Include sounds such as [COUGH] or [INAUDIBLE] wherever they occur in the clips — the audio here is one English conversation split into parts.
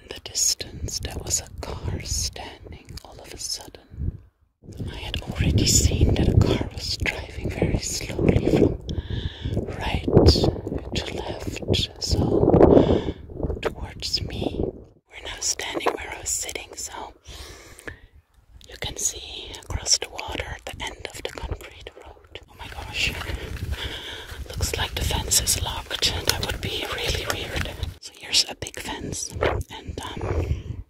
In the distance, there was a car standing all of a sudden. I had already seen that a car was driving very slowly from right to left, so towards me. We're now standing where I was sitting, so you can see across the water at the end of the concrete road. Oh my gosh. Looks like the fence is locked. That would be really weird. So here's a big fence and um,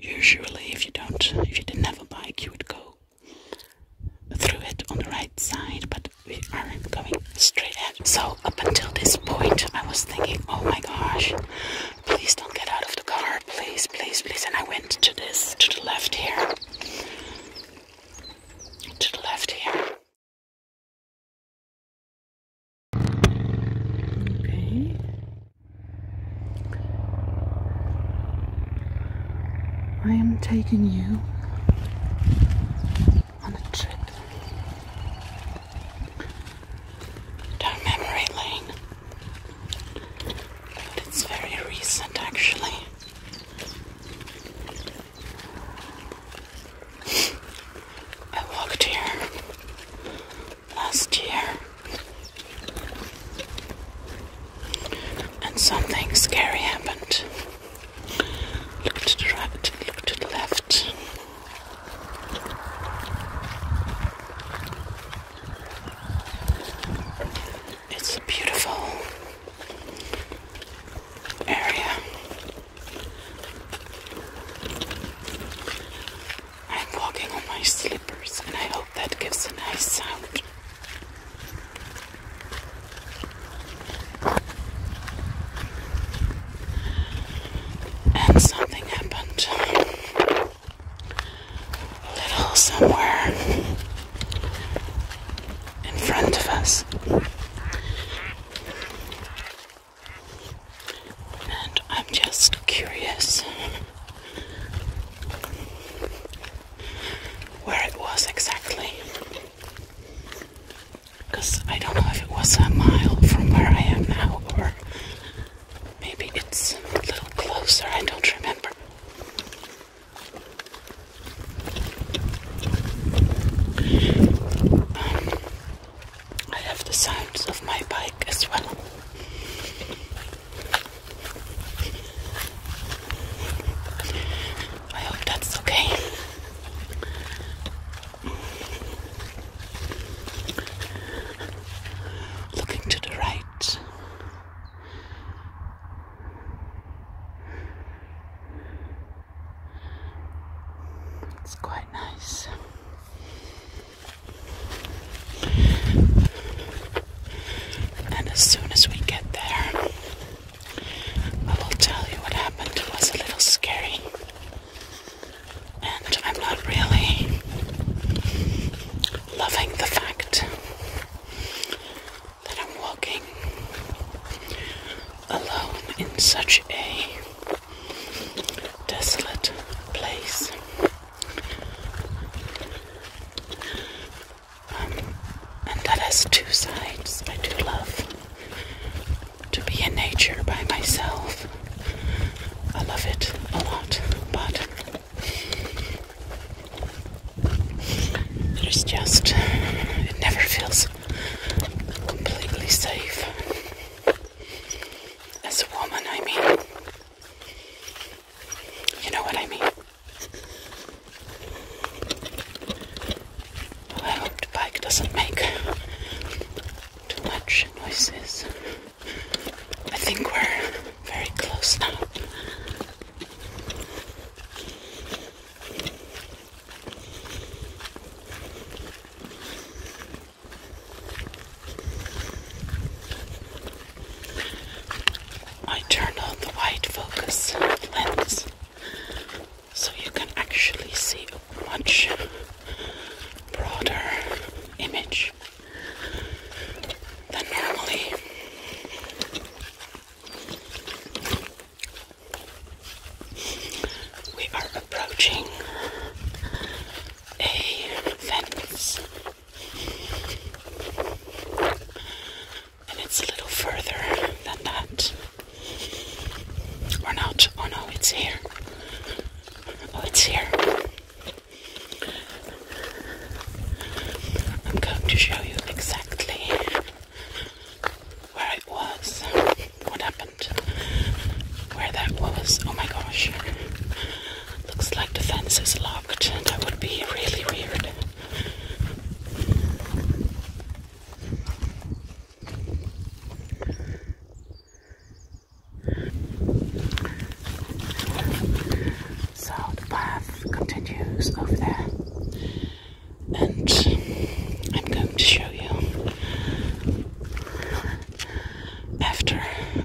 usually if you don't if you didn't have a bike you would go through it on the right side, but we are going straight ahead. So up until this point I was thinking, oh my gosh, please don't get out of the car please, please, please. And I went to this, to the left here. To the left here. Okay. I am taking you on a trip Don't memory lane. But it's very recent actually. I walked here last year. And something scary happened. Look to the right, look to the left. It's a beautiful area. I'm walking on my slippers, and I hope that gives a nice sound. And something happened little somewhere in front of us. And I'm just curious where it was exactly. Because I don't know if it was a mile from where I am now or maybe it's a little closer, I don't remember. I have the sounds of my bike as well. I hope that's okay. Looking to the right, it's quite nice. And as soon as we get there, I will tell you what happened. It was a little scary. And I'm not really loving the fact that I'm walking alone in such a desolate place. Um, and that has two sides. I do love to be in nature by myself. I love it a lot, but it's just, it never feels completely safe. As a woman, I mean. You know what I mean? I hope the bike doesn't make too much noises. I think we're very close now. I turn on the wide focus lens so you can actually see a much broader image than normally. We are approaching a fence, and it's a little further than that. Or not? Oh no, it's here. Oh, it's here. I'm going to show you exactly where it was, what happened, where that was. Oh my gosh. Looks like the fence is locked. That would be really weird. So the path continues over there, and I'm going to show you after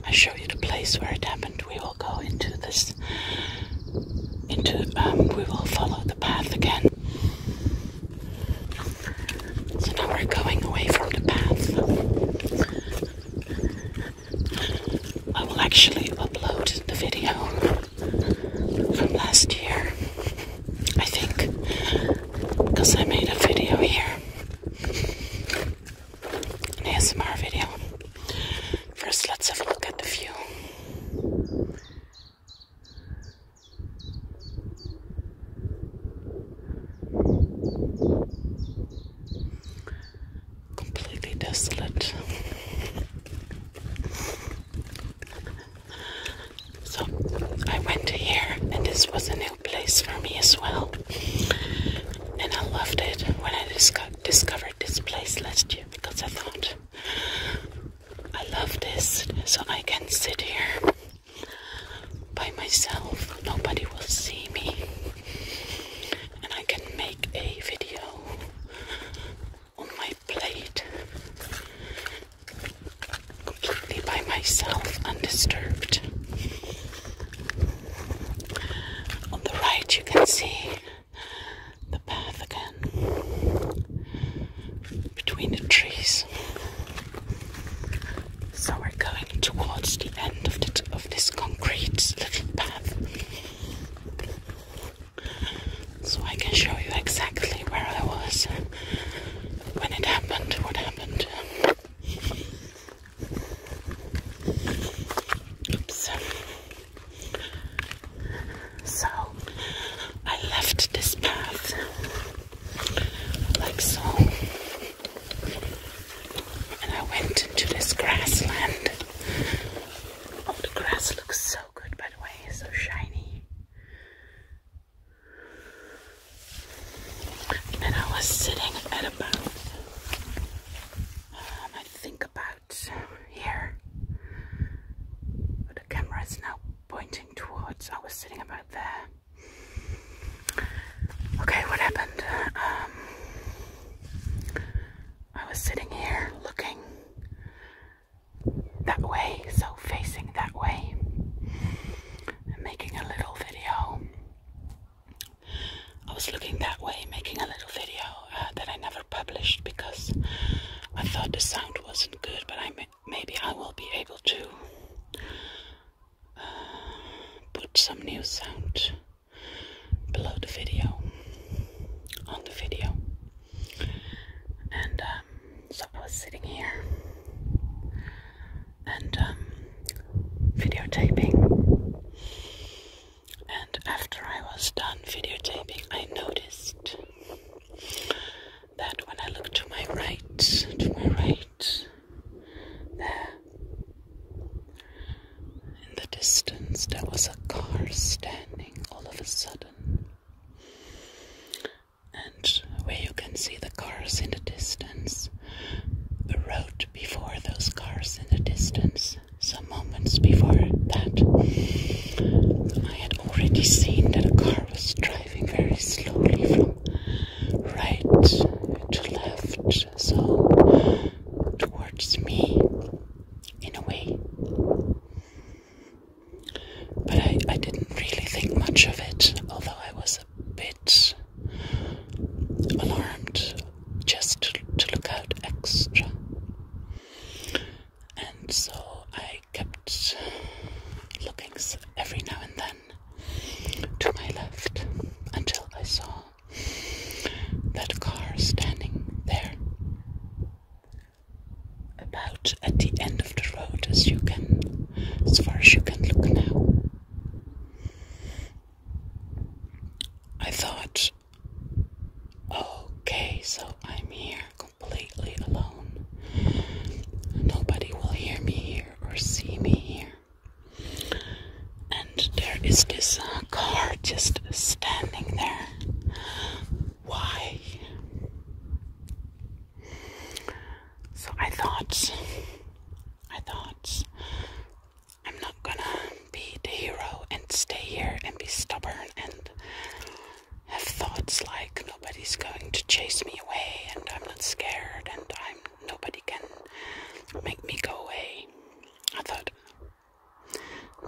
I show you the place where it happened. We will go into this, into um, we will follow the path again. So now we're going away from the path. I will actually upload the video from last year, I think, because I made a video here, an ASMR video. First, let's have a look at the view completely desolate. so I went to here, and this was a new place for me as well. And I loved it when I disco discovered this place last year because I thought I love this, so I can sit here by myself. Nobody will see me, and I can make a video on my plate completely by myself, undisturbed. On the right, you can see the path again between the trees. So we're going towards the end of, this concrete little path so I can show you exactly where I was when it happened, what happened. Oops. So I left this path like so, and I went into this grassland. Oh, the grass looks so so good, by the way. It's so shiny. And I was sitting at about, um, I think about here. But the camera is now pointing towards, I was sitting about there. Okay, what happened? Um, I was sitting here looking that way, so facing that way. i making a little video. I was looking that way, making a little video uh, that I never published because I thought the sound wasn't good, but I maybe I will be able to uh, put some new sound below the video, on the video. And um, so I was sitting here and um, videotaping. And after I was done videotaping, I noticed that when I looked to my right, to my right, there, in the distance, there was a car standing all of a sudden and where you can see the cars in the distance, the road before those cars in the distance, some moments before that, I had already seen that a car was driving very slowly from right to left, so towards me in a way. But I, didn't really think much of it, although I was a bit alarmed just to look out extra. And so I kept looking every now and then to my left until I saw that car standing there about at the end of the road as you can as far as you can look now. I thought okay, so I'm here completely alone. Nobody will hear me here or see me here. And there is this car just standing there. Why? So I thought, I thought, I'm not gonna be the hero and stay here and be stubborn and have thoughts like nobody's going to chase me away and I'm not scared and I'm nobody can make me go away. I thought,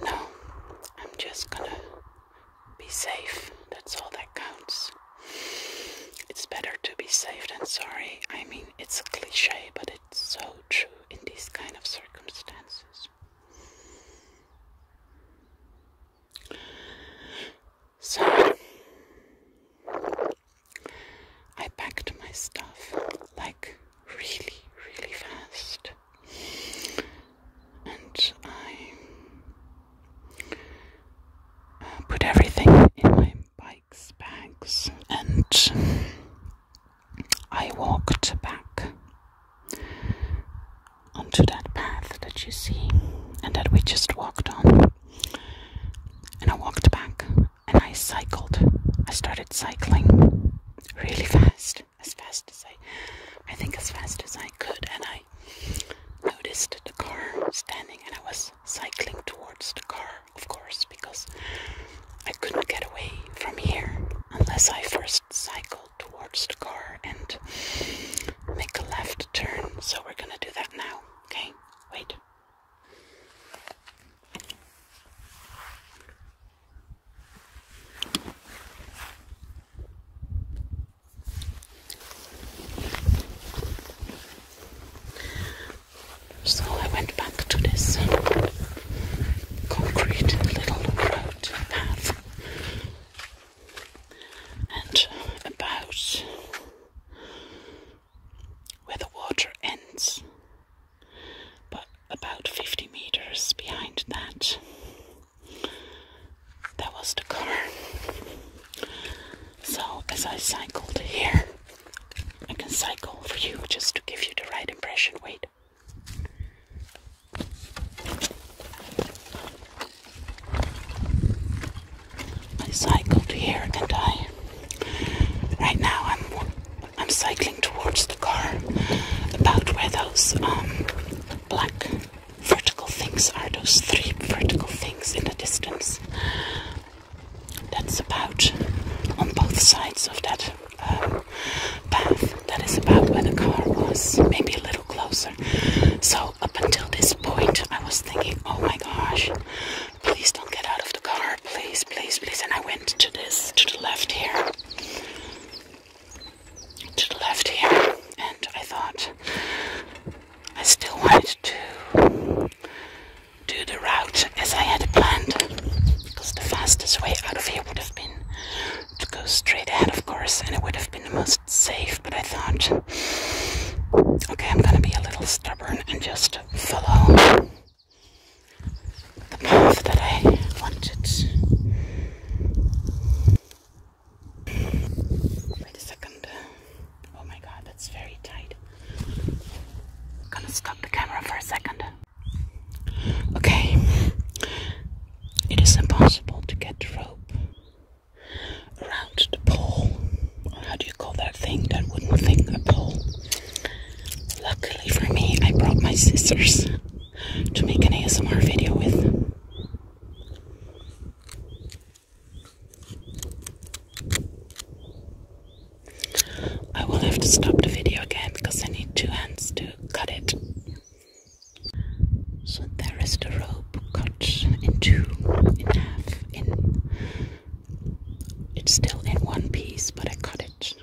no, I'm just gonna be safe. That's all that counts. It's better to be safe than sorry. I mean, it's a cliche, but it's so true in these kind of circumstances. So, I packed my stuff like really, really fast. And I uh, put everything in my bike's bags and I walked back onto that path that you see and that we just walked on. And I walked back and I cycled. I started cycling really fast as fast as I, I think as fast as I could, and I noticed the car standing, and I was cycling towards the car, of course, because I couldn't get away from here unless I first cycled towards the car and make a left turn. So we're gonna do that now. Okay, wait. So I went back to this uh, concrete little road path, and uh, about where the water ends, but about 50 meters behind that, that was the car. So, as I cycled here, I can cycle for you just to give you the right impression. Wait. I cycled here, and I. Right now, I'm I'm cycling towards the car, about where those um black vertical things are those three vertical things in the distance. That's about on both sides of that um, path. That is about where the car was, maybe a little closer. So, up until this point, I was thinking, oh my gosh, please don't get out of the car, please, please, please. And I went to this, to the left here to the left here, and I thought I still wanted to do the route as I had planned, because the fastest way out of here would have been to go straight ahead, of course, and it would have been the most safe, but I thought, okay, I'm gonna be a little stubborn and just follow the path that I wanted. Wait a second. Oh my god, that's very tight. I'm gonna stop the camera for a second. Okay. It is impossible to get rope around the pole. How do you call that thing? That wooden thing, a pole. Luckily for me, I brought my scissors to make an ASMR video with. I will have to stop the video again because I need two hands to cut it. So there is the rope cut in two, in half, in it's still in one piece, but I cut it.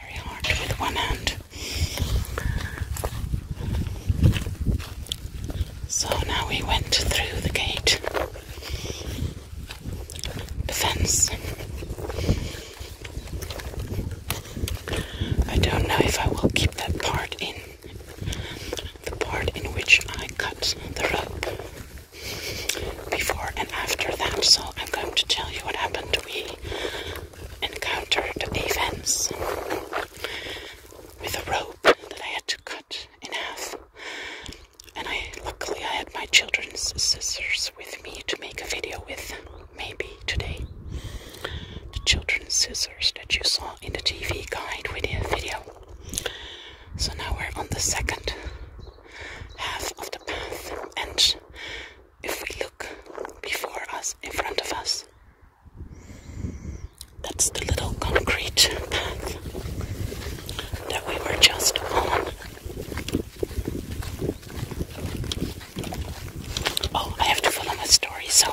Very hard with one hand. So now we went through the gate, the fence. I don't know if I will keep that part in the part in which I cut the rope before and after that. So I'm going to tell you what happened. We encountered events with a rope that I had to cut in half. And I luckily I had my children's scissors with me to make a video with maybe today. The children's scissors that you saw in the TV guide video. So now we're on the second half of the path, and if we look before us, in front of us, that's the little concrete path that we were just on. Oh, I have to follow my story. So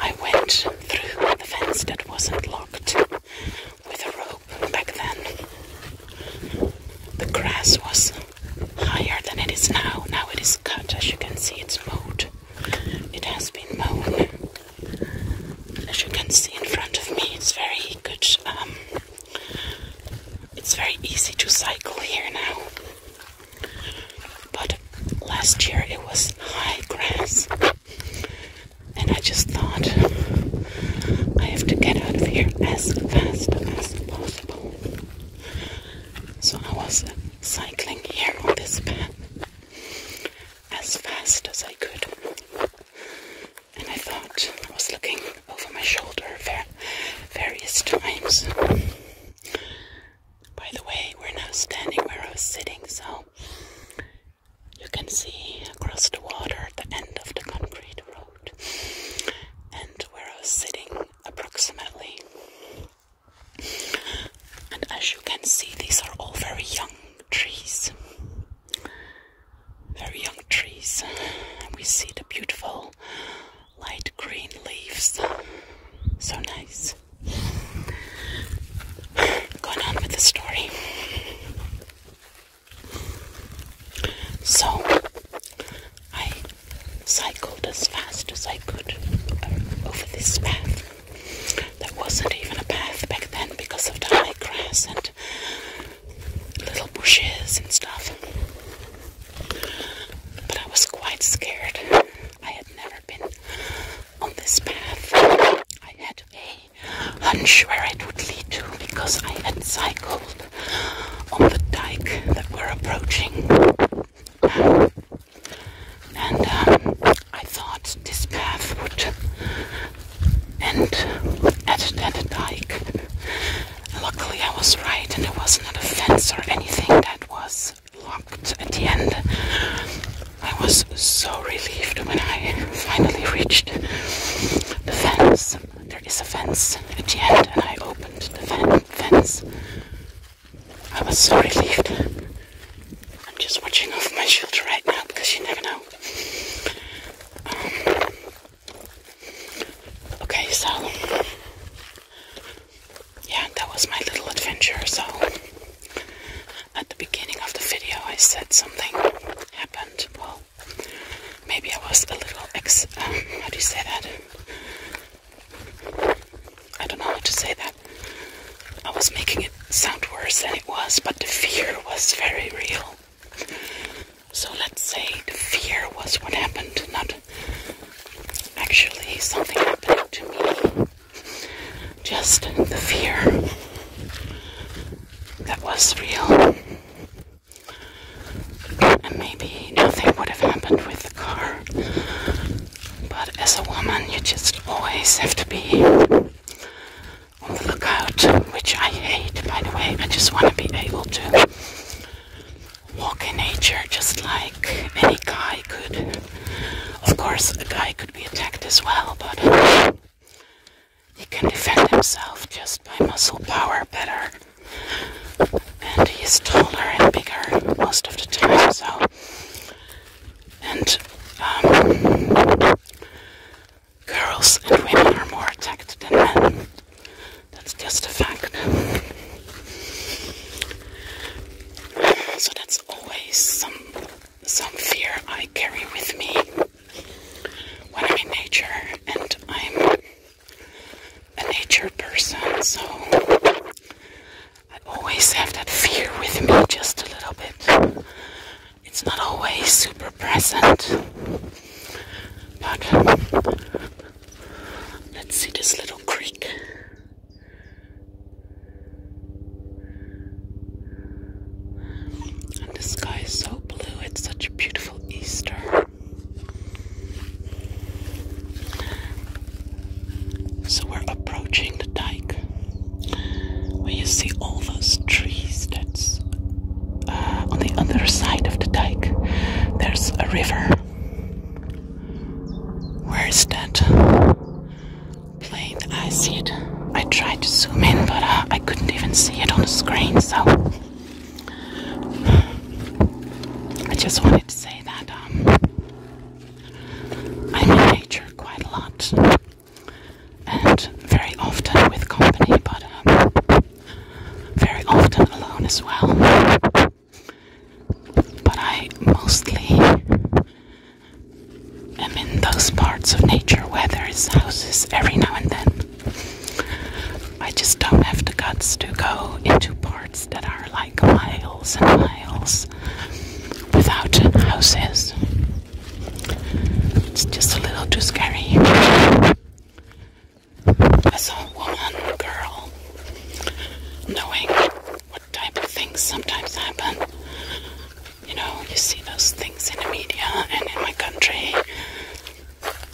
I went through the fence that wasn't locked with a rope back then. The grass was higher than it is now. Now it is cut, as you can see, it's mowed. It has been mown. As you can see in front of me, it's very good. Um, it's very easy to cycle here now. But last year it was high grass. And I just thought I have to get out of here as fast as possible. So I was cycling here on this path as fast as I could. And I thought I was looking over my shoulder various times. By the way, we're now standing where I was sitting, so you can see across the water the end of the concrete road and where I was sitting approximately. And as you can see, these are all very young trees. Very young trees. And we see the beautiful light green leaves. So nice going on with the story. So I cycled as fast as I could uh, over this path. There wasn't even a path back then because of dry grass and little bushes and stuff. But I was quite scared. I had never been on this path. I had a hunch where it would lead to because I had cycled on the dike that we're approaching. and um, I thought this path would end at, that dike. Luckily, I was right, and there was not a fence or anything that was locked at the end. I was so relieved when I finally reached the fence. There is a fence at the end, and I opened the fence. I was so relieved. I'm just watching over my shoulder right now because you never know. Um, okay, so yeah, that was my little adventure. So at the beginning of the video I said something happened. Well, maybe I was a little ex. Um, how do you say that? I don't know how to say that. I was making it sound worse than it was, but the fear was very real. So let's say the fear was what happened, not actually something happening to me. Just the fear that was real. And maybe nothing would have happened with the car. But as a woman, you just always have to be on the lookout, which I hate, by the way. I just want to be able to walk in nature just like any guy could. Of course, a guy could be attacked as well, but he can defend himself just by muscle power better. And he is taller and bigger most of the time, so. And um, girls and women are more attacked than men. That's just a fact. So that's always some some fear I carry with me when I'm in nature, and I'm a nature person, so I always have that fear with me just a little bit. It's not always super present, but let's see this little creek. And the sky is so blue, it's such a beautiful Easter. So we're approaching the dike where you see all those trees that's uh, on the other side of the dike. There's a river. Where is that? I see it. I tried to zoom in, but uh, I couldn't even see it on the screen, so I just wanted to say that um, I'm in nature quite a lot and very often with company, but um, very often alone as well. But I mostly I'm in those parts of nature where there is houses every now and then. I just don't have the guts to go into parts that are like miles and miles without houses. It's just a little too scary. As a woman, girl, knowing what type of things sometimes happen you know, you see those things in the media and in my country.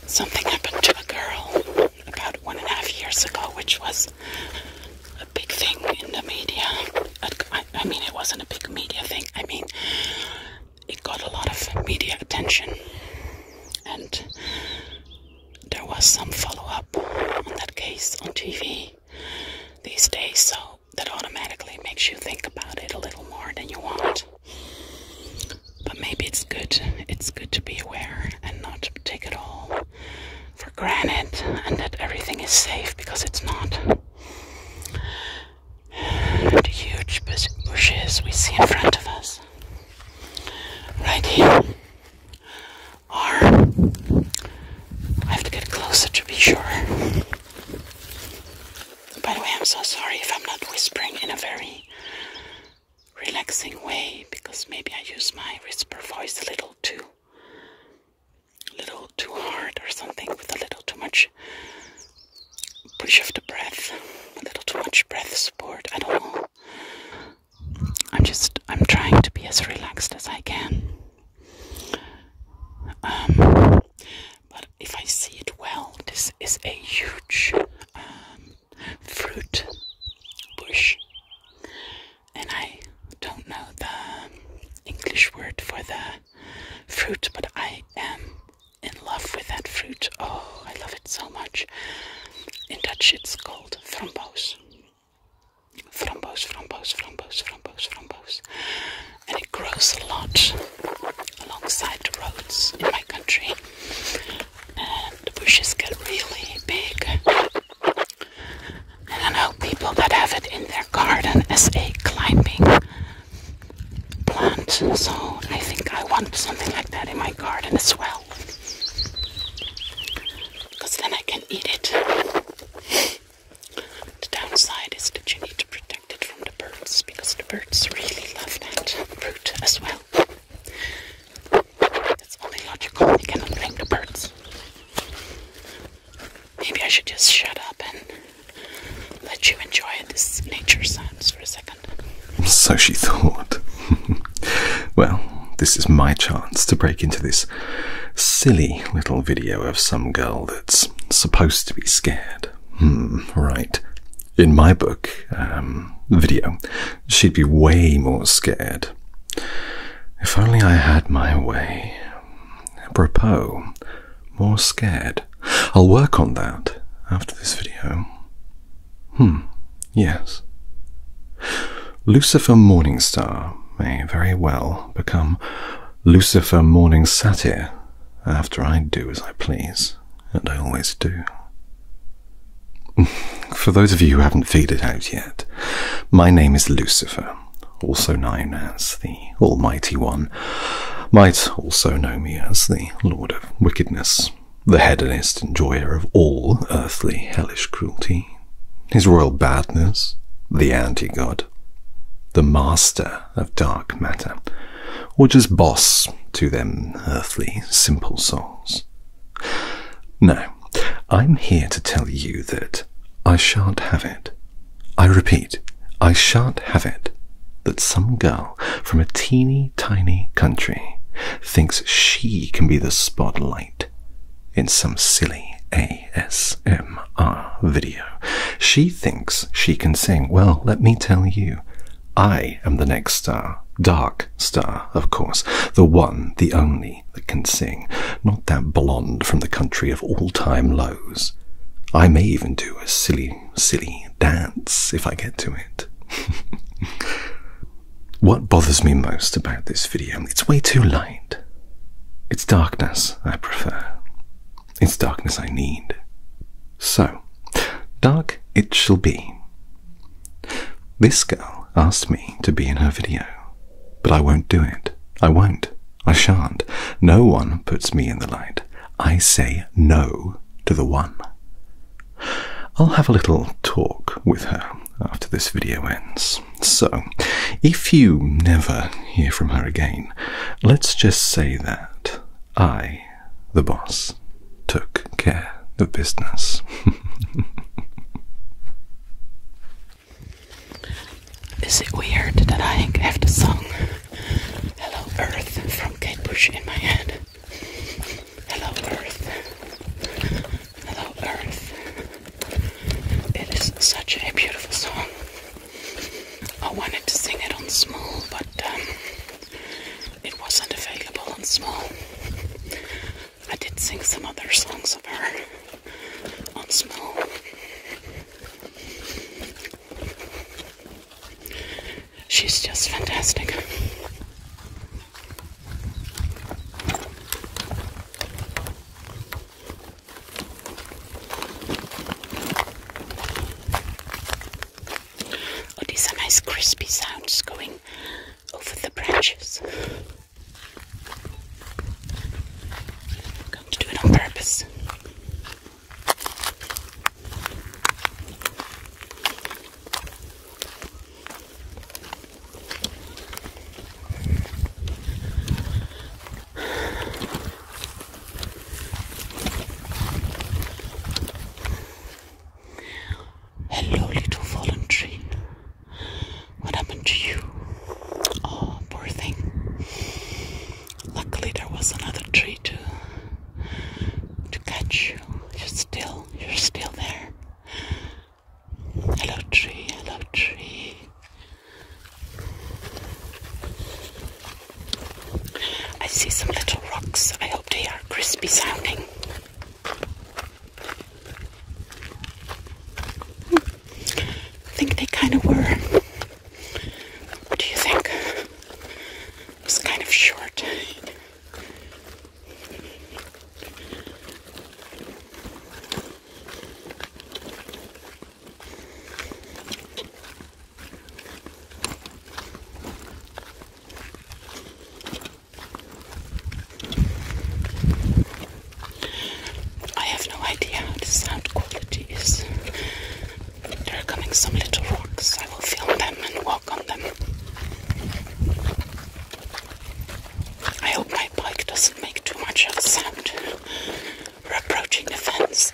Something happened to a girl about one and a half years ago, which was a big thing in the media. I, mean, it wasn't a big media thing, I mean, it got a lot of media attention. And there was some follow up on that case on TV these days, so that automatically makes you think about it a little more than you want. But maybe it's good, it's good to be aware and not take it all for granted and that everything is safe because it's not. The huge bushes we see in front of us, right here, are. I have to get closer to be sure. By the way, I'm so sorry if I'm not whispering in a very relaxing way because maybe I use my whisper voice a little too little too hard or something with a little too much push of the breath, a little too much breath support. I don't know. I'm just I'm trying to be as relaxed as I can. Um, but if I see it well, this is a huge um, fruit bush, and I don't know the English word for the fruit, but I am in love with that fruit. Oh, I love it so much. In Dutch, it's called framboos. Framboos, framboos, framboos, framboos, framboos and it grows a lot alongside the roads in my country. And the bushes get really big. And I know people that have it in their garden as a climbing plant. So I think I want something like that in my garden as well. Because then I can eat it. The downside is that you need to protect it the birds because the birds really love that fruit as well. It's only logical We cannot blame the birds. Maybe I should just shut up and let you enjoy this nature sounds for a second. So she thought. [LAUGHS] well, this is my chance to break into this silly little video of some girl that's supposed to be scared. Hmm, right in my book um, video, she'd be way more scared. If only I had my way. Apropos, more scared. I'll work on that after this video. Hmm, yes. Lucifer Morningstar may very well become Lucifer Morning Satyr after I do as I please, and I always do. [LAUGHS] For those of you who haven't figured it out yet, my name is Lucifer, also known as the Almighty One. Might also know me as the Lord of Wickedness, the hedonist enjoyer of all earthly hellish cruelty, his royal badness, the anti god, the master of dark matter, or just boss to them earthly, simple souls. No, I'm here to tell you that I shan't have it. I repeat, I shan't have it that some girl from a teeny tiny country thinks she can be the spotlight in some silly ASMR video. She thinks she can sing. Well, let me tell you, I am the next star, dark star, of course, the one, the only that can sing, not that blonde from the country of all time lows. I may even do a silly, silly dance if I get to it. [LAUGHS] what bothers me most about this video, it's way too light. It's darkness I prefer. It's darkness I need. So, dark it shall be. This girl asked me to be in her video, but I won't do it. I won't. I shan't. No one puts me in the light. I say no to the one. I'll have a little talk with her after this video ends. So, if you never hear from her again, let's just say that I the boss took care of business. [LAUGHS] Is it weird that I have the song Hello Earth from Kate Bush in my head? Hello Earth. Hello Earth. It is such a beautiful song. I wanted to sing it on small, but um, it wasn't available on small. I did sing some other songs of her on small. She's just fantastic. Oh, these are nice crispy sounds going over the branches. going to do it on purpose. Hello, little fallen tree. What happened to you? Oh, poor thing. Luckily, there was another tree to to catch you. You're still, you're still there. Hello, tree. Hello, tree. I see some little rocks. I hope they are crispy sounding. Hmm. I think they kind of were. What do you think? was kind of short. I have no idea how the sound quality is. There are coming some little rocks. I will film them and walk on them. I hope my bike doesn't make too much of a sound. We're approaching the fence.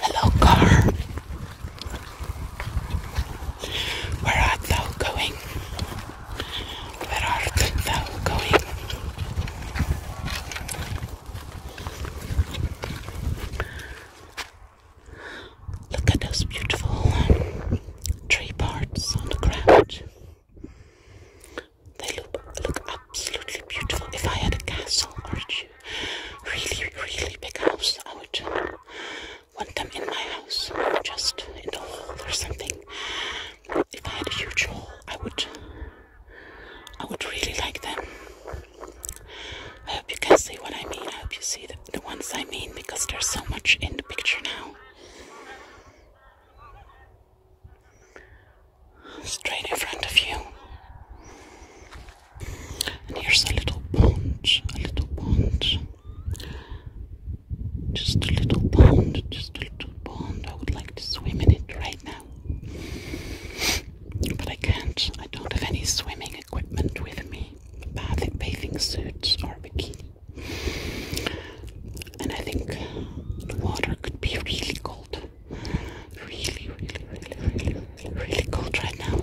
Hello, car. Where art thou going? Where art thou going? Look at those beautiful um, tree parts on the ground. They look, absolutely beautiful. If I had a castle or you? really, really big house, I would uh, want them in my house, just in the hall or something. If I had a huge hall, I would, I would really like them. I hope you can see what I mean. I hope you see the the ones I mean because there's so much in the picture now. Straight in front of you. And here's a little pond, a little pond. Just a little pond, just a little pond. I would like to swim in it right now. But I can't. I don't have any swimming equipment with me. bathing suits or bikini. And I think the water could be really cold. Really, really, really, really, really, cold right now.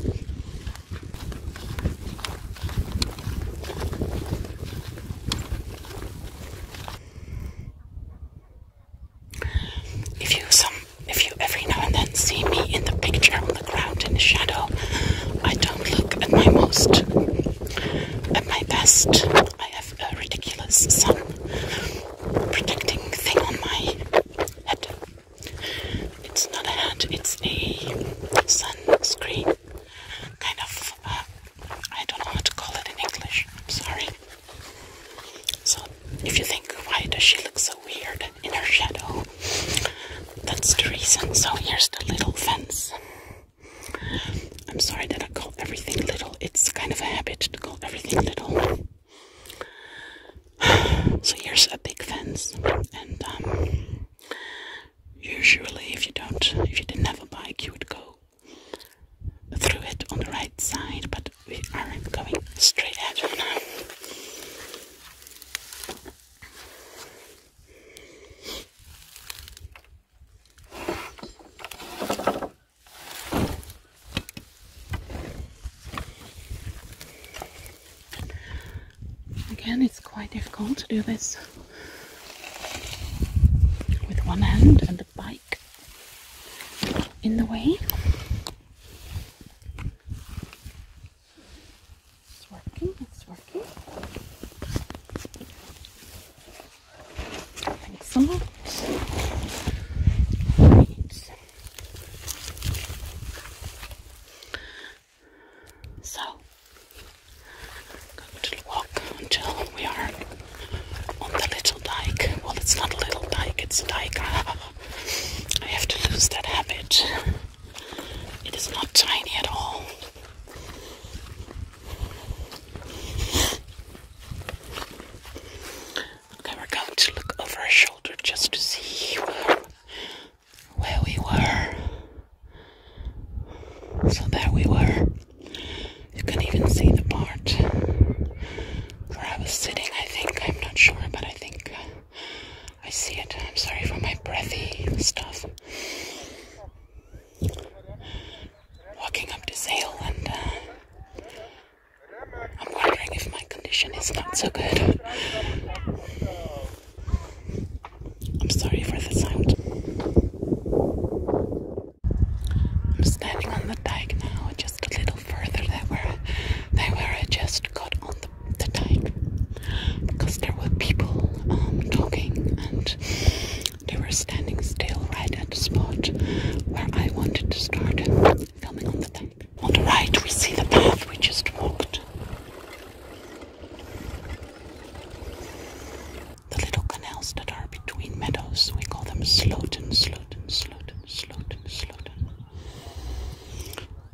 If you some if you every now and then see me in the picture ground in the shadow. I don't look at my most, at my best. I have a ridiculous sun protecting thing on my head. It's not a hat, it's a sunscreen. Kind of, uh, I don't know how to call it in English. I'm sorry. So, if you think, why does she look so weird in her shadow? that's the reason. So here's the little fence. I'm sorry that I call everything little. It's kind of a habit to call everything little. [SIGHS] So here's a big fence, and um, usually if you don't, if you didn't have a bike, you would go through it on the right side. But we are going straight ahead now. Again, it's quite difficult to do this with one hand and the bike in the way. It's working, it's working. Thanks so much. So, going to walk until we are on the little dike. Well, it's not a little dike, it's a dike. [LAUGHS] I have to lose that habit. It is not tiny at all. Okay, we're going to look over our shoulder just to see where, where we were. So there we were. You can even see the part where I was sitting, I think. I'm not sure, but I think uh, I see it. I'm sorry for my breathy stuff walking up this hill and uh, I'm wondering if my condition is not so good. I'm sorry for the sound. I'm standing on the dike now, just a little further than where, than where I just got on the dike because there were people um, talking and they were standing still right at the spot where I wanted to start filming on the deck. On the right, we see the path we just walked. The little canals that are between meadows, we call them Sloten, Sloten, Sloten, Sloten, Sloten.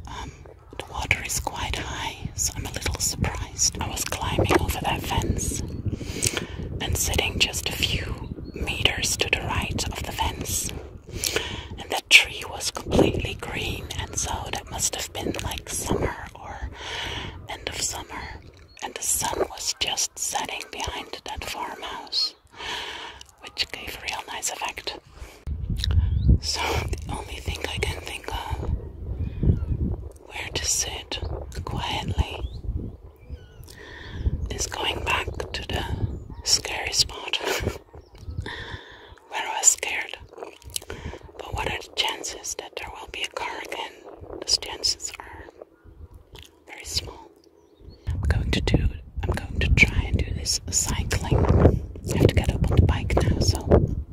Um, the water is quite high, so I'm a little surprised. I was climbing over that fence and sitting just a few meters to the right of the fence. And that tree was completely green, and so that must have been like summer or end of summer. And the sun was just setting behind that farmhouse, which gave a real nice effect. So, the only thing I can think of where to sit quietly is going back to the scary spot [LAUGHS] where I was scared. But what are the chances that there will be a car again? The chances are very small. I'm going to do I'm going to try and do this cycling. I have to get up on the bike now, so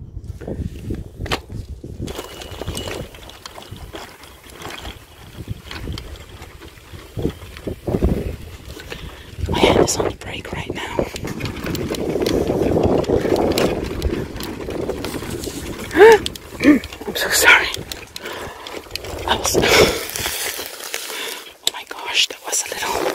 my hand is on the brake right now. [GASPS] I'm so sorry. [SIGHS] oh my gosh, that was a little.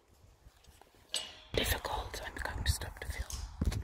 difficult. I'm going to stop the film.